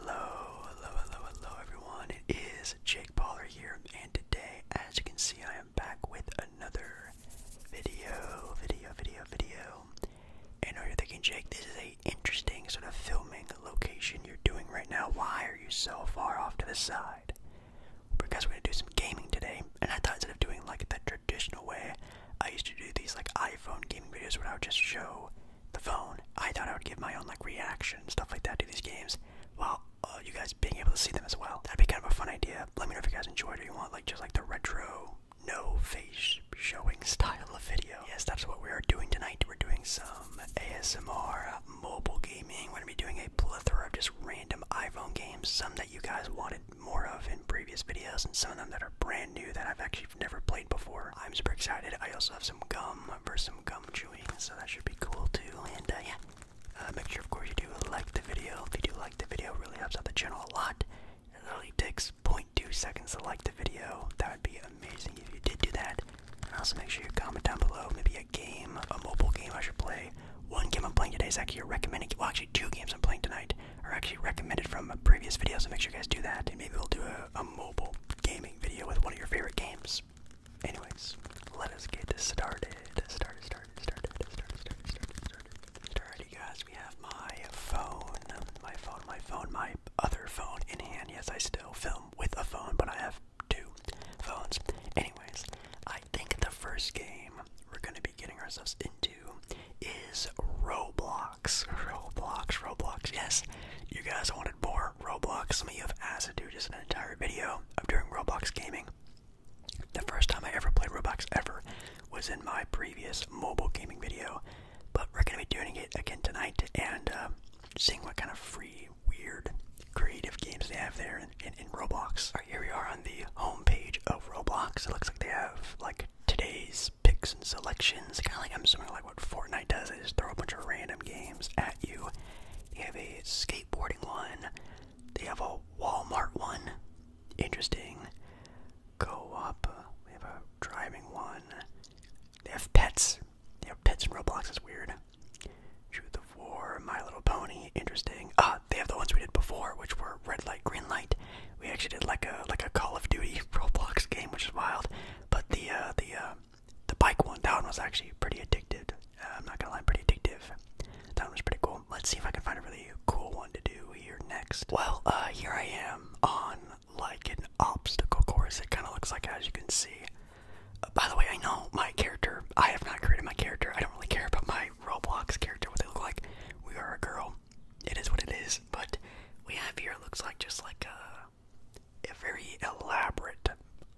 Hello, hello, hello, hello everyone. It is Jake Pollard here, and today, as you can see, I am back with another video, video, video, video. And are you thinking, Jake, this is a interesting sort of filming location you're doing right now. Why are you so far off to the side? Because we're gonna do some gaming today, and I thought instead of doing like the traditional way, I used to do these like iPhone gaming videos where I would just show the phone, I thought I would give my own like reaction and stuff like that to these games, while uh, you guys being able to see them as well. That'd be kind of a fun idea. Let me know if you guys enjoyed or you want like just like the retro no face showing style of video. Yes, that's what we are doing tonight. We're doing some ASMR uh, mobile gaming. We're gonna be doing a plethora of just random iPhone games, some that you guys wanted more of in previous videos, and some of them that are brand new that I've actually never played before. I'm super excited. I also have some gum for some gum chewing, so that should be cool too. And uh, yeah, uh, make sure, of course, you do like the video. If you do like the video, really helps out the channel a lot. It literally takes 0.2 seconds to like the video. That would be amazing if you did do that. also make sure you comment down below maybe a game, a mobile game I should play. One game I'm playing today is actually recommending. Well, actually, two games I'm playing tonight are actually recommended from previous videos. So make sure you guys do that, and maybe we'll do a mobile gaming video with one of your favorite games. Anyways, let us get started. Started, started, started, started, started, started, started. Alrighty guys, we have my phone, my phone, my phone, my other phone in hand. Yes, I still film with a phone, but I have two phones. Anyways, I think the first game we're gonna be getting ourselves into is Roblox. Roblox, Roblox. Yes, you guys wanted more Roblox. Some of you have asked to do just an entire video of doing Roblox gaming. The first time I ever played Roblox ever was in my previous mobile gaming video, but we're gonna be doing it again tonight and uh, seeing what kind of free, weird, creative games they have there in, Roblox. Alright, here we are on the homepage of Roblox. It looks like they have like today's picks and selections, kind of like I'm assuming what Fortnite does is throw a bunch of random games at you. They have a skateboarding one, they have a Walmart one, interesting. Go up. we have a driving one. They have pets. They have pets in Roblox, Is weird. Truth of War, My Little Pony, interesting. Ah, they have the ones we did before, which were red light, green light. We actually did like a like a Call of Duty Roblox game, which is wild. But the uh, the uh, the bike one, that one was actually pretty addictive. Uh, I'm not gonna lie, pretty addictive. That one was pretty cool. Let's see if I can find a really cool one to do here next. Well, uh, here I am on like an obstacle course. It kind of looks like, as you can see. Uh, by the way, I know my character. I have not created my character. I don't really care about my Roblox character, what they look like. We are a girl. It is what it is. But we have here looks like just like a uh, a very elaborate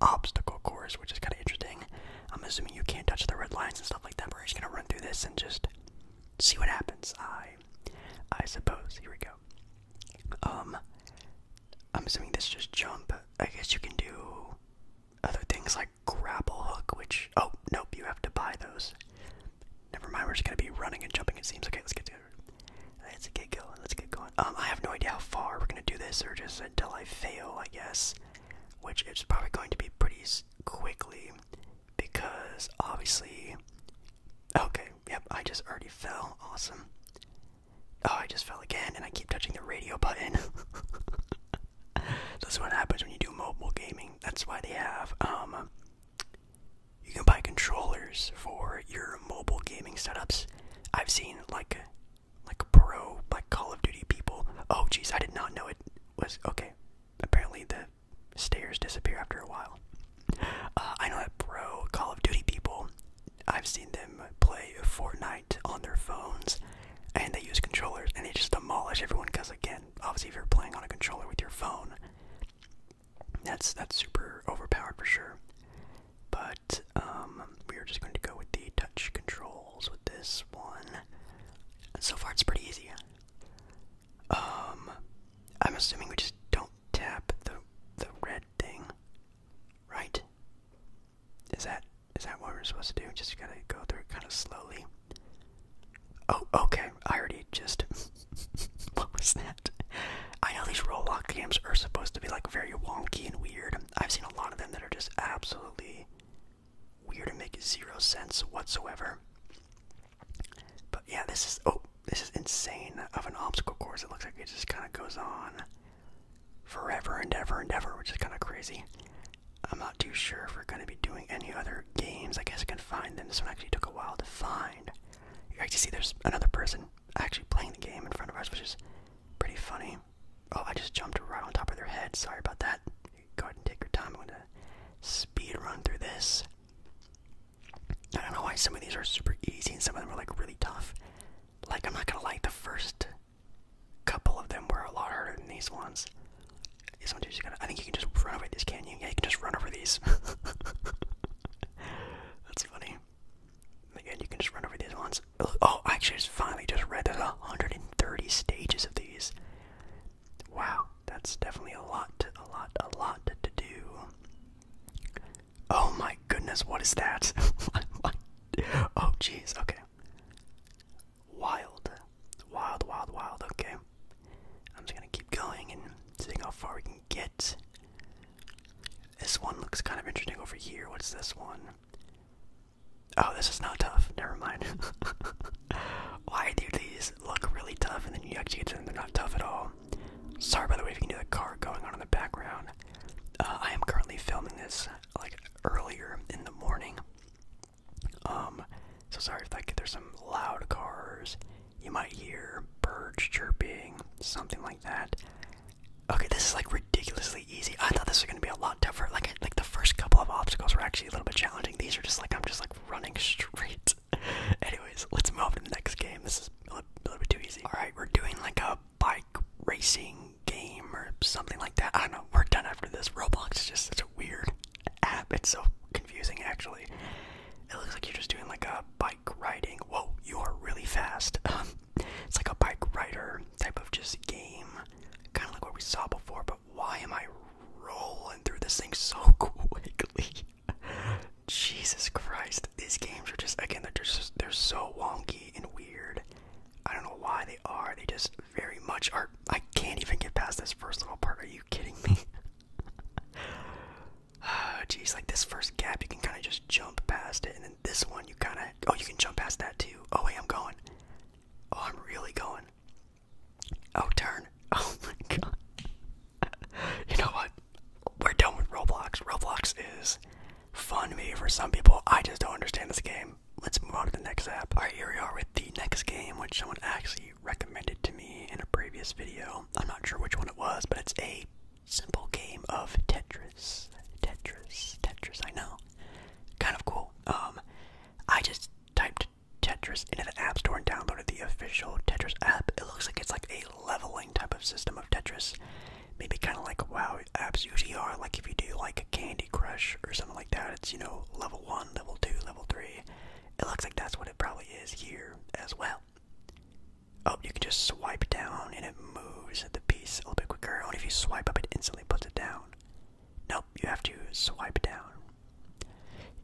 obstacle course, which is kind of interesting. I'm assuming you can't touch the red lines and stuff like that. we're just gonna run through this and just see what happens. I, I suppose. Here we go. Um, I'm assuming this just jump. I guess you can do other things like grapple hook, which oh nope, you have to buy those. Never mind. We're just gonna be running and jumping. It seems okay. Let's get to. Let's get going. Let's get going. Um, I have no idea how far we're gonna do this, or just until I fail, I guess. Which is probably going to be pretty quickly, because obviously. Okay. Yep. I just already fell. Awesome. Oh, I just fell again, and I keep touching the radio button. That's what happens when you do mobile gaming. That's why they have um you can buy controllers for your mobile gaming setups. I've seen like like pro like Call of Duty people. Oh geez, I did not know it was okay. Apparently the stairs disappear after a while. Uh, I know that pro Call of Duty people. I've seen them play Fortnite on their phones, and they use controllers, and they just demolish everyone. Because again, obviously, if you're playing on a controller with your phone, that's that's super overpowered for sure. But um, we are just going to go with the touch controls with this one. And so far, it's pretty easy. Um, I'm assuming we just don't tap the the red thing, right? Is that is that what we're supposed to do? Just gotta go through it kind of slowly. Oh, okay. I already just. what was that? I know these Roblox games are supposed to be like very wonky and weird. I've seen a lot of them that are just absolutely weird and make zero sense whatsoever. But yeah, this is oh, this is insane of an obstacle course. It looks like it just kind of goes on forever and ever and ever, which is kind of crazy. I'm not too sure if we're going to be doing any other games. I guess I can find them. This one actually took a while to find. You like to see there's another person actually playing the game in front of us, which is pretty funny. Oh, I just jumped right on top of their head. Sorry about that. Go ahead and take your time. I'm going to speed run through this. I don't know why some of these are super easy and some of them are like really tough. Like, I'm not going to like the first couple of them were a lot harder than these ones. These ones you just gotta, I think you can just run over these, can you? Yeah, you can just run over these. That's funny. Again, you can just run over these ones. Oh, I actually just finally just read the 130 stages of these. Wow, that's definitely a lot, a lot, a lot to do. Oh my goodness, what is that? oh, jeez, okay. Wild, wild, wild, wild, okay. I'm just gonna keep going and seeing how far we can get. This one looks kind of interesting over here. What's this one? Oh, this is not tough. Never mind. Why do these look really tough and then you actually get them? They're not tough at all. Sorry, by the way, if you can hear the car going on in the background. Uh, I am currently filming this like earlier in the morning. Um, so sorry if like there's some loud cars. You might hear birds chirping, something like that. Okay, this is like ridiculously easy. I thought this was gonna be a lot tougher. Like, like the first couple of obstacles were actually a little bit challenging. These are just like I'm just like running straight. Anyways, let's move to the next game. This is a little, bit too easy. All right, we're doing like a bike racing game or something like that. I don't know. We're done after this. Roblox is just such a weird app. It's so confusing, actually. It looks like you're just doing like a bike riding. Whoa, you are really fast. Um, it's like a bike rider type of just game, kind of like what we saw before. But why am I rolling through this thing so quickly? Jesus Christ, these games are just again they're just they're so wonky and weird. I don't know why they are. They just very much are. I can't even get past this first little part. Are you kidding me? Oh, geez, like this first gap, you can kind of just jump past it, and then this one, you kind of, oh, you can jump past that too. Oh, wait, I'm going. Oh, I'm really going. Oh, turn. Oh my god. you know what? We're done with Roblox. Roblox is fun, Me for some people. I just don't understand this game. Let's move on to the next app. Alright, here we are with the next game, which someone actually recommended to me in a previous video. I'm not sure which one it was, but it's a simple game of Tetris. Tetris, Tetris, I know. Kind of cool. Um, I just typed Tetris into the App Store and downloaded the official Tetris app. It looks like it's like a leveling type of system of Tetris. Maybe kind of like WoW apps usually are. Like if you do like a Candy Crush or something like that, it's, you know, level 1, level 2, level 3. It looks like that's what it probably is here as well. Oh, you can just swipe down and it moves the piece a little bit quicker. Only if you swipe up, it instantly puts it down. Nope, you have to swipe down.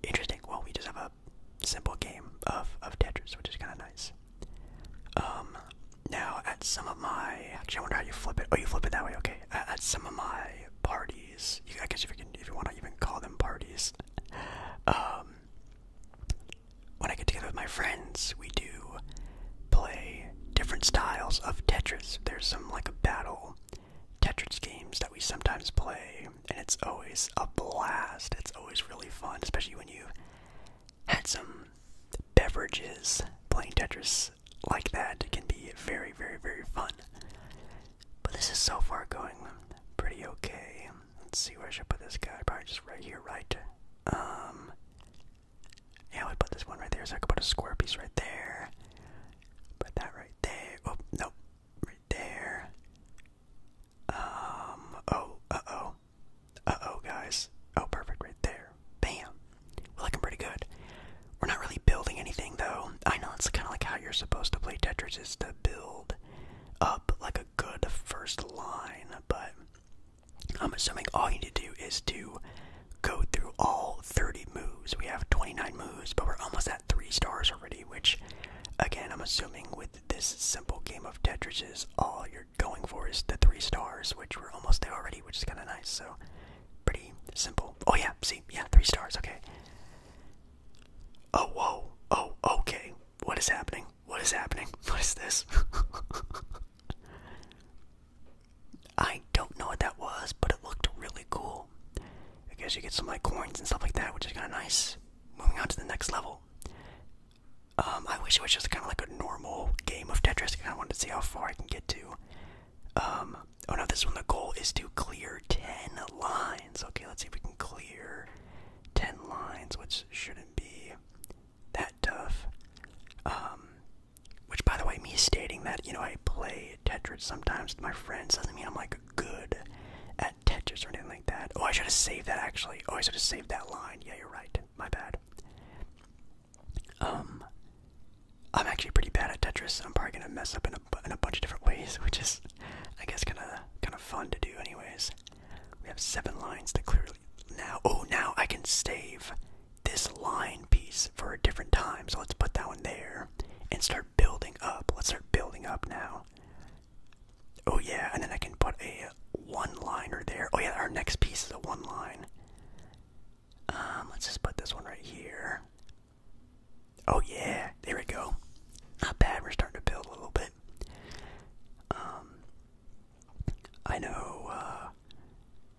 Interesting. Well, we just have a simple game of of Tetris, which is kind of nice. Um, now at some of my actually, I wonder how you flip it. Oh, you flip it that way. Okay. At, some of my parties, I guess if you can, if you want to even call them parties, um, when I get together with my friends, we do play different styles of Tetris. There's some like a battle Tetris games that we sometimes play, and it's always a blast. It's always really fun, especially when you had some beverages playing Tetris like that. It can be very, very, very fun. But this is so far going pretty okay. Let's see where I should put this guy. Probably just right here, right? Um, yeah, we put this one right there, so I could put a square piece right there. Put that right there. Oh, no, right there. Um, oh, uh oh. Uh oh, guys. Oh, perfect, right there. Bam. We're looking pretty good. We're not really building anything, though. I know it's kind of like how you're supposed to play Tetris is to build up like a good first line, but I'm assuming all you need to do is to go through all 30 moves. We have 29 moves, but we're almost at 3 stars already, which, again, I'm assuming with this simple game of Tetris is all you're going for is the 3 stars, which we're almost there already, which is kind of nice, so pretty simple. Oh yeah, see, yeah, 3 stars, okay. Oh, whoa, oh, okay, what is happening? What is happening? What is this? I don't know what that was, but it looked really cool. I guess you get some like coins and stuff like that, which is kind of nice. Moving on to the next level. Um, I wish it was just kind of like a normal game of Tetris. I kind wanted to see how far I can get to. Um, oh no, this one the goal is to clear 10 lines. Okay, let's see if we can clear 10 lines, which shouldn't be that tough. Um, which, by the way, me stating that, you know, I play Tetris sometimes with my friends doesn't mean I'm like good at Tetris or anything like that. Oh, I should have saved that actually. Oh, I should have saved that line. Yeah, you're right. My bad. Um, I'm actually pretty bad at Tetris. I'm probably gonna mess up in a in a bunch of different ways, which is, I guess, kind of kind of fun to do, anyways. We have seven lines to clearly now. Oh, now I can save this line piece for a different time. So let's put that one there and start building up. Let's start building up now. Oh yeah, and then I can put a one liner there. Oh yeah, our next piece is a one line. Um, let's just put this one right here. Oh yeah, there we go. Not bad. We're starting to build a little bit. Um, I know uh,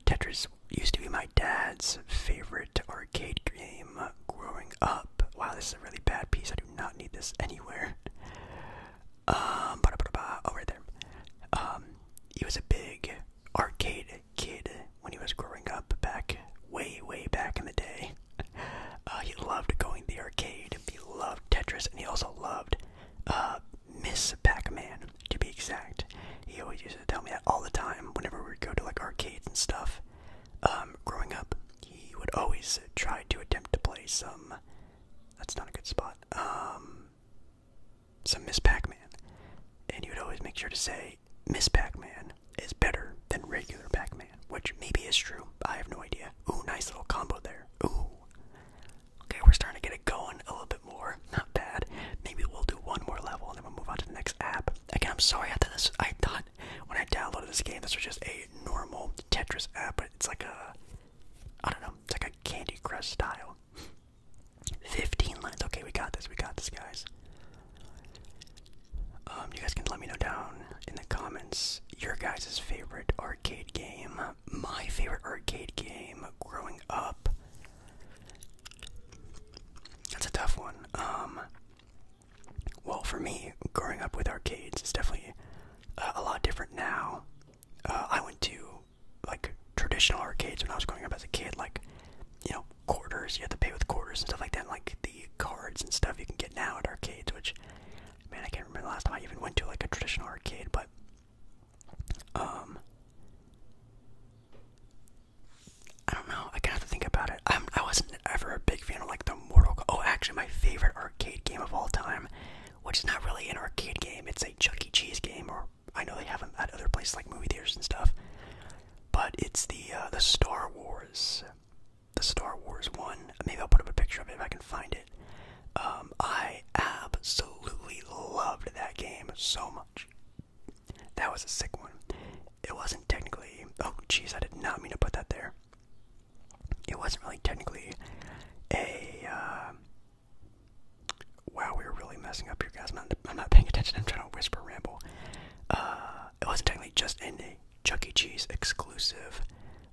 Tetris used to be my dad's favorite arcade game growing up. Wow, this is a really bad piece. I do not need this anywhere. Um, ba there. Um, he was a big arcade kid when he was growing up back way way back in the day. Uh, he loved going to the arcade. He loved Tetris, and he also loved uh, Miss Pac-Man, to be exact. He always used to tell me that all the time whenever we would go to like arcades and stuff. Um, growing up, he would always try to attempt to play some. That's not a good spot. Um, some Miss Pac-Man, and he would always make sure to say Miss Pac-Man is better than regular Pac-Man, which maybe is true. I have no idea. Ooh, nice little combo there. Ooh, Okay, we're starting to get it going a little bit more. Not bad. Maybe we'll do one more level and then we'll move on to the next app. Again, I'm sorry I thought this I thought when I downloaded this game this was just a normal Tetris app, but it's like a I don't know, it's like a Candy Crush style. 15 lines. Okay, we got this. We got this, guys. Um, you guys can let me know down in the comments your guys' favorite arcade game my favorite arcade game growing up. That's a tough one. Um, well, for me, growing up with arcades, it's definitely uh, a lot different now. Uh, I went to like traditional arcades when I was growing up as a kid, like you know quarters. You had to pay with quarters and stuff like that. like the cards and stuff you can get now at arcades, which man, I can't remember the last time I even went to like a traditional arcade, but um, I don't know. I kind of think about it. I'm, I was not ever a big fan of like the Mortal. Oh, actually, my favorite arcade game of all time, which is not really an arcade game. It's a Chuck E. Cheese game, or I know they have them at other places like movie theaters and stuff. But it's the uh, the Star Wars, the Star Wars one. Maybe I'll put up a picture of it if I can find it. Um, I absolutely loved that game so much. That was a sick one. It wasn't technically. Oh, jeez, I did not mean to put that there. It wasn't really technically a. Uh, wow, we were really messing up here, guys. I'm not, I'm not paying attention. I'm trying to whisper ramble. Uh, it wasn't technically just in a Chuck E. Cheese exclusive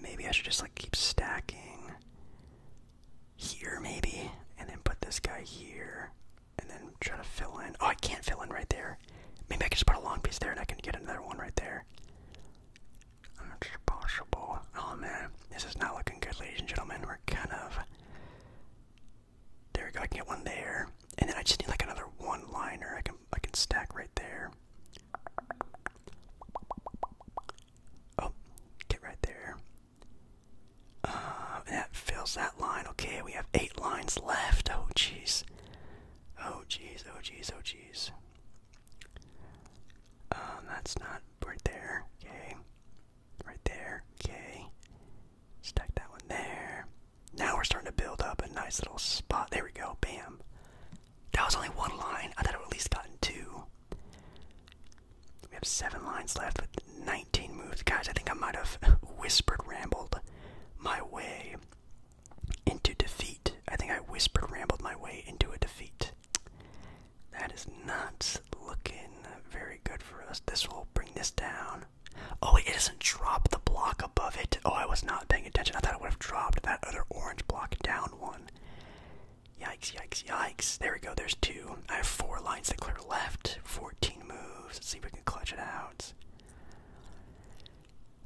Maybe I should just like keep stacking here, maybe, and then put this guy here, and then try to fill in. Oh, I can't fill in right there. Maybe I can just put a long piece there, and I can get another one right there. possible. Oh man, this is not looking good, ladies and gentlemen. We're kind of. There we go. I can get one there, and then I just need like another one-liner. I can I can stack right there. Oh, get right there. Uh, that fills that line. Okay, we have eight lines left. Oh, jeez. Oh, jeez. Oh, jeez. Oh, jeez. Um, that's not right there. Okay. Right there. Okay. Stack that one there. Now we're starting to build up a nice little spot. There we go. Bam. That was only one line. I thought it would at least gotten two. We have seven lines left with 19 moves. Guys, I think I might have whispered rambled my way into defeat. I think I whispered rambled my way into a defeat. That is not looking very good for us. This will bring this down. Oh, it doesn't drop the block above it. Oh, I was not paying attention. I thought I would have dropped that other orange block down one. Yikes, yikes, yikes. There we go, there's two. I have four lines that clear left, 14 moves. Let's see if we can clutch it out.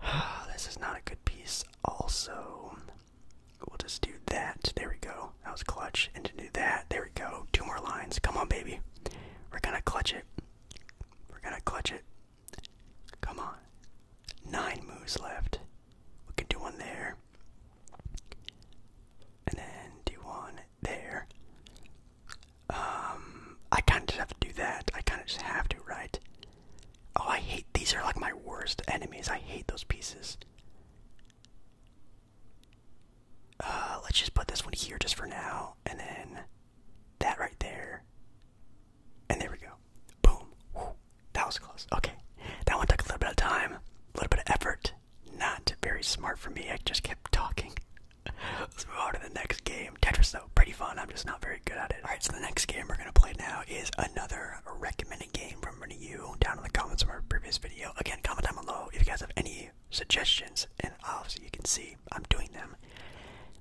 this is not a good piece. Also, we'll just do that. There we go. That was clutch. And to do that, there we go. Two more lines. Come on, baby. We're gonna clutch it. We're gonna clutch it. Come on. Nine moves left. We can do one there. And then do one there. Um, I kind of just have to do that. I kind of just have to, right? Oh, I hate these. Are like my worst enemies. I hate those pieces. Uh, let's just put this one here just for now, and then that right there. And there we go. Boom. That was close. Okay. That one took a little bit of time, a little bit of effort. Not very smart for me. I just kept talking. Let's move on to the next game. Tetris, though, pretty fun. I'm just not very good at it. Alright, so the next game we're going to play now is another recommended game from one of you down in the comments from our previous video. Again, comment down below if you guys have any suggestions, and obviously you can see I'm doing them.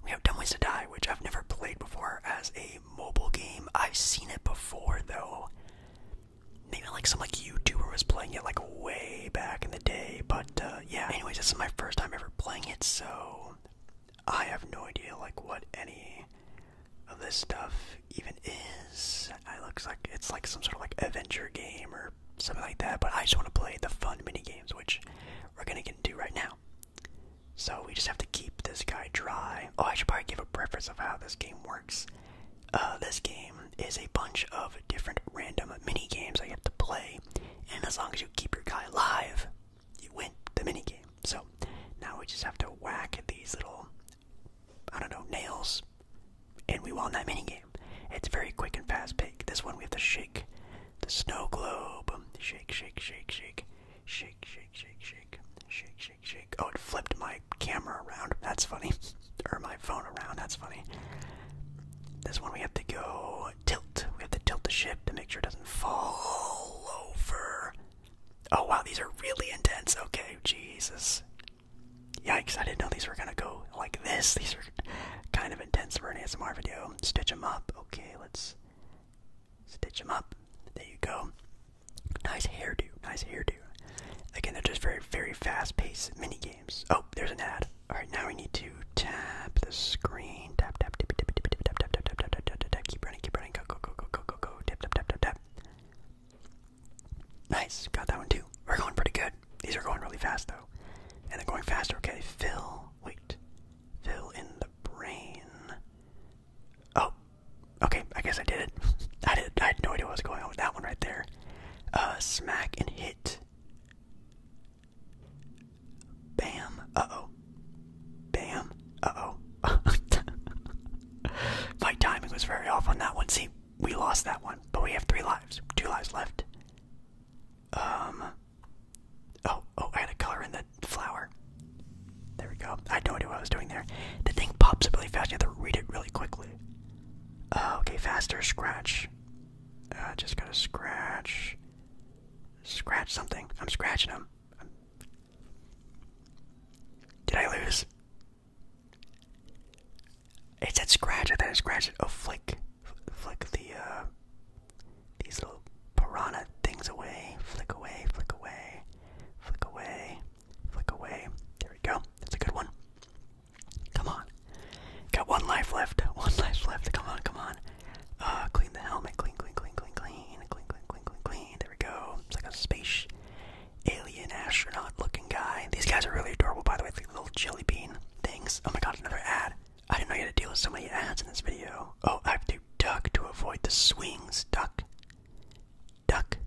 We have Dumb Ways to Die, which I've never played before as a mobile game. I've seen it before though. Maybe like some like YouTuber was playing it like way back in the day. But uh, yeah, anyways, this is my first time ever playing it, so I have no idea like what any of this stuff even is. It looks like it's like some sort of like adventure game or something like that. But I just want to play the fun mini games, which we're gonna get into right now. So we just have to keep this guy dry. Oh, I should probably give a preference of how this game works. Uh, this game is a bunch of different random mini games that you have to play, and as long as you keep your guy alive, you win the mini game. So now we just have to whack these little, I don't know, nails, and we won that mini game. It's very quick and fast pick. This one we have to shake the snow globe. Shake, shake, shake, shake, shake, shake, shake, shake, shake, shake, shake, Oh, it flipped my camera around. That's funny. or my phone around. That's funny. This one we have to go tilt. We have to tilt the ship to make sure it doesn't fall over. Oh, wow, these are really intense. Okay, Jesus. Yikes, I didn't know these were gonna go like this. These are kind of intense for an ASMR video. Stitch them up. Okay, let's stitch them up. There you go. Nice hairdo, nice hairdo. Again, they're just very, very fast-paced mini games. Oh, there's an ad. All right, now we need to tap the screen. Tap, tap, tap, tap, tap, tap, tap, tap, tap, tap, tap, tap. Keep running, keep running. Go, go, go, go, go, go, go. Tap, tap, tap, tap, tap. Nice, got that one too. We're going pretty good. These are going really fast though, and they're going faster. Okay, fill. Wait, fill in the brain. Oh, okay. I guess I did it. I did. I had no idea what was going on with that one right there. Uh, smack and hit. Bam. Uh oh. Bam. Uh oh. My timing was very off on that one. See, we lost that one, but we have three lives. Two lives left. Um. Oh, oh, I had to color in the the flower. There we go. I had no idea what I was doing there. The thing pops up really fast. You have to read it really quickly. Uh, okay, faster scratch. Uh, just gotta scratch. Scratch something. I'm scratching them. Did I lose? It said scratch. I thought I scratched it. Oh, flick. Flick the, uh, these little piranha things away. Flick away, flick away. Flick away. Flick away. There we go. That's a good one. Come on. Got one life left. One life left. Come on, come on. Uh, clean the helmet. Clean, clean, clean, clean, clean. Clean, clean, clean, clean, clean. There we go. It's like a space alien astronaut looking guy. These guys are really adorable, by the way. It's like little jelly bean things. Oh my god, another ad. I didn't know you had to deal with so many ads in this video. Oh, I have to duck to avoid the swings. Duck duck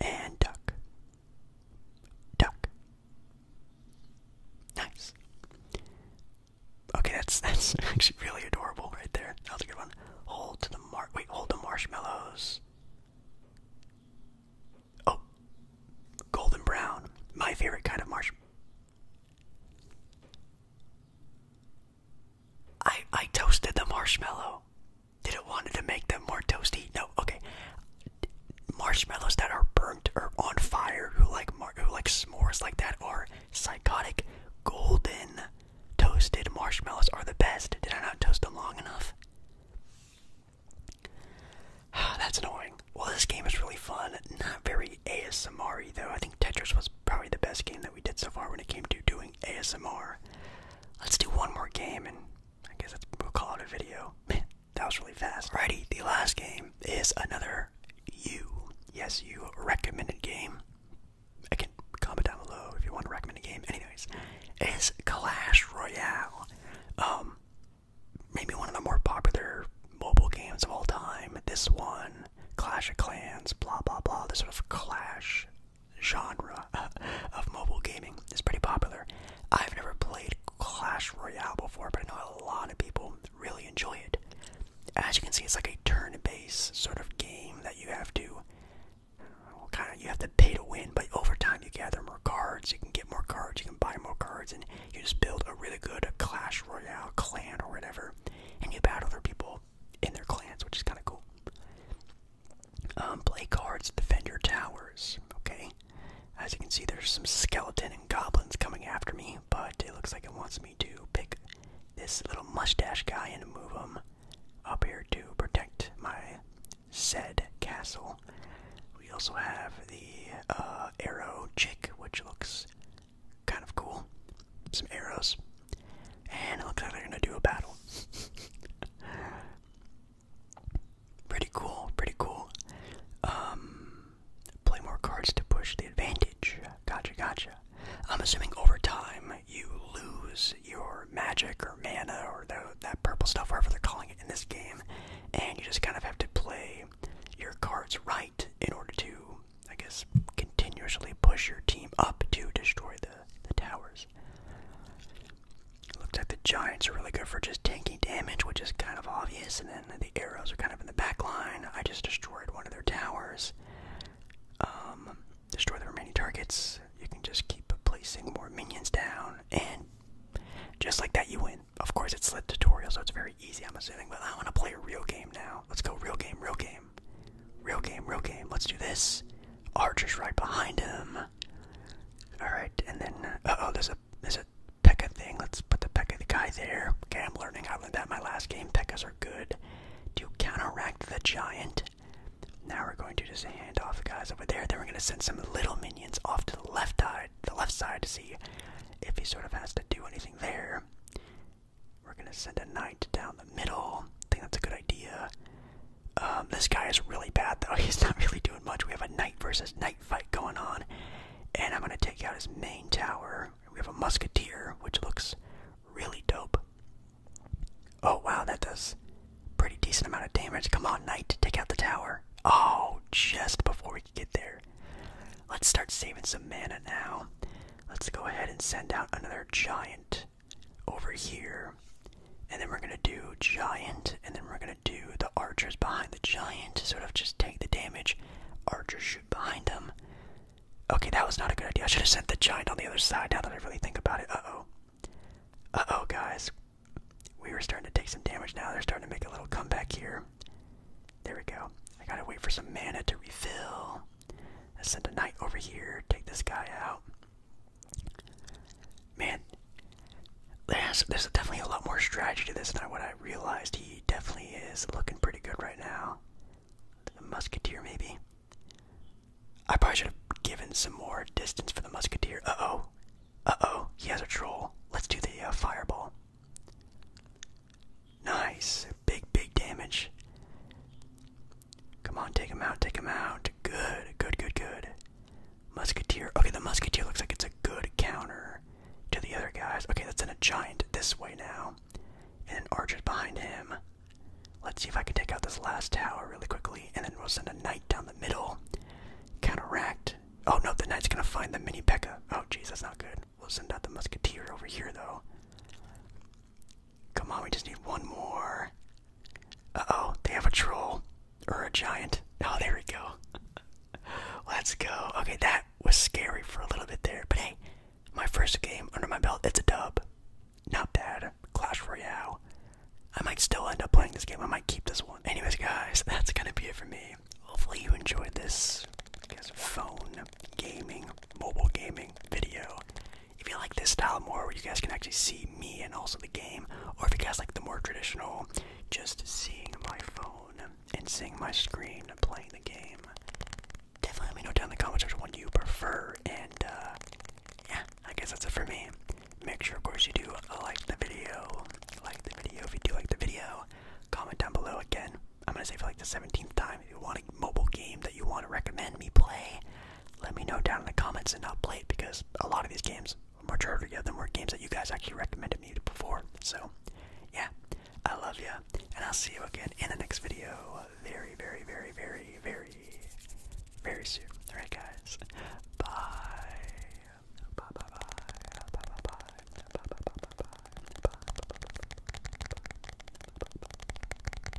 and duck duck nice okay that's that's actually really adorable right there that was good one hold to the mar wait hold the marshmallows oh golden brown my favorite kind of marshmallow I I toasted the marshmallow. Did it wanted to make them more toasty? No. Okay. Marshmallows that are burnt or on fire, who like mar who like s'mores like that, are psychotic. Golden toasted marshmallows are the best. Did I not toast them long enough? That's annoying. Well, this game is really fun. Not very ASMR though. I think Tetris was probably the best game that we did so far when it came to doing. ASMR. Let's do one more game, and I guess that's, we'll call it a video. that was really fast. Alrighty, the last game is another you, yes, you recommended game. Again, comment down below if you want to recommend a game. Anyways, is Clash Royale. Um, maybe one of the more popular mobile games of all time. This one, Clash of Clans, blah blah blah. This sort of Clash genre of mobile gaming is pretty popular. I've never played Clash Royale before, but I know a lot of people really enjoy it. As you can see, it's like a turn-based sort of game that you have to kind of you have to pay to win, but over time you gather more cards, you can get more cards, you can buy more cards, and you just build a really good Clash Royale clan or whatever, and you battle other people in their clans, which is kind of cool. Um, play cards, defend your towers, okay? As you can see, there's some skeleton and goblins coming after me, but it looks like it wants me to pick this little mustache guy and move him up here to protect my said castle. We also have the uh, arrow chick, which looks kind of cool. Some arrows, and it looks like they're gonna do a battle. pretty cool, pretty cool. Um, play more cards to push the advantage. Gotcha, gotcha. I'm assuming over time you lose your magic or mana or that purple stuff, whatever they're calling it in this game, and you just kind of have to play your cards right in order to, I guess, continuously push your team up to destroy the the, towers. It looks like the Giants are really good for just tanking damage, which is kind of obvious, and then the arrows are kind of in the back line. I just destroyed one of their towers. Um, destroy the remaining targets. You can just keep placing more minions down, and just like that, you win. Of course, it's a tutorial, so it's very easy, I'm assuming, but I want to play a real game now. Let's go real game, real game. Real game, real game. Let's do this. Archer's right behind him. Alright, and then uh oh, there's a there's a Pekka thing. Let's put the Pekka guy there. Okay, I'm learning. I learned that my last game. Pekkas are good. To counteract the giant. Now we're going to just hand off the guys over there. Then we're gonna send some little minions off to the left side the left side to see if he sort of has to do anything there. We're gonna send a knight down the middle. I think that's a good idea. Um, this guy is really bad though. He's not really doing much. We have a knight versus knight fight going on, and I'm gonna take out his main tower. We have a musketeer, which looks really dope. Oh wow, that does pretty decent amount of damage. Come on, knight, take out the tower. Oh, just before we could get there. Let's start saving some mana now. Let's go ahead and send out another giant over here. And then we're gonna do giant, and then we're gonna do the archers behind the giant to sort of just take the damage. Archers shoot behind them. Okay, that was not a good idea. I should have sent the giant on the other side now that I really think about it. Uh oh. Uh oh, guys. We were starting to take some damage now. They're starting to make a little comeback here. There we go. I gotta wait for some mana to refill. Let's send a knight over here, take this guy out. Man, there's, there's definitely a lot more strategy to this than what I realized. He definitely is looking pretty good right now. The musketeer, maybe. I probably should have given some more distance for the musketeer. Uh oh. Uh oh. He has a troll. Let's do the uh, fireball. Nice. Big, big damage. Come on, take him out, take him out. Good, good, good, good. Musketeer. Okay, the musketeer looks like it's a good counter to the other guys. Okay, let's send a giant this way now. And an archer's behind him. Let's see if I can take out this last tower really quickly, and then we'll send a knight down the middle. Counteract. Oh no, the knight's gonna find the mini Pekka. Oh jeez, that's not good. We'll send out the musketeer over here though. Come on, we just need one more. Uh oh, they have a troll. Or a giant. Oh, there we go. Let's go. Okay, that was scary for a little bit there. But hey, my first game under my belt, it's a dub. Not bad. Clash Royale. I might still end up playing this game. I might keep this one. Anyways, guys, that's going to be it for me. Hopefully you enjoyed this I guess, phone gaming, mobile gaming video if you like this style more where you guys can actually see me and also the game, or if you guys like the more traditional, just seeing my phone and seeing my screen playing the game, definitely let me know down in the comments section what you prefer. And uh, yeah, I guess that's it for me. Make sure, of course, you do like the video. Like the video if you do like the video. Comment down below again. I'm gonna say for like the 17th time if you want a mobile game that you want to recommend me play let me know down in the comments and I'll play it because a lot of these games, majority of them were games that you guys actually recommended me before. So, yeah, I love you, and I'll see you again in the next video very, very, very, very, very, very soon. Alright, guys, bye. Bye, bye, bye. Bye, bye, bye. Bye, bye, bye. Bye, bye, bye. Bye, bye, bye.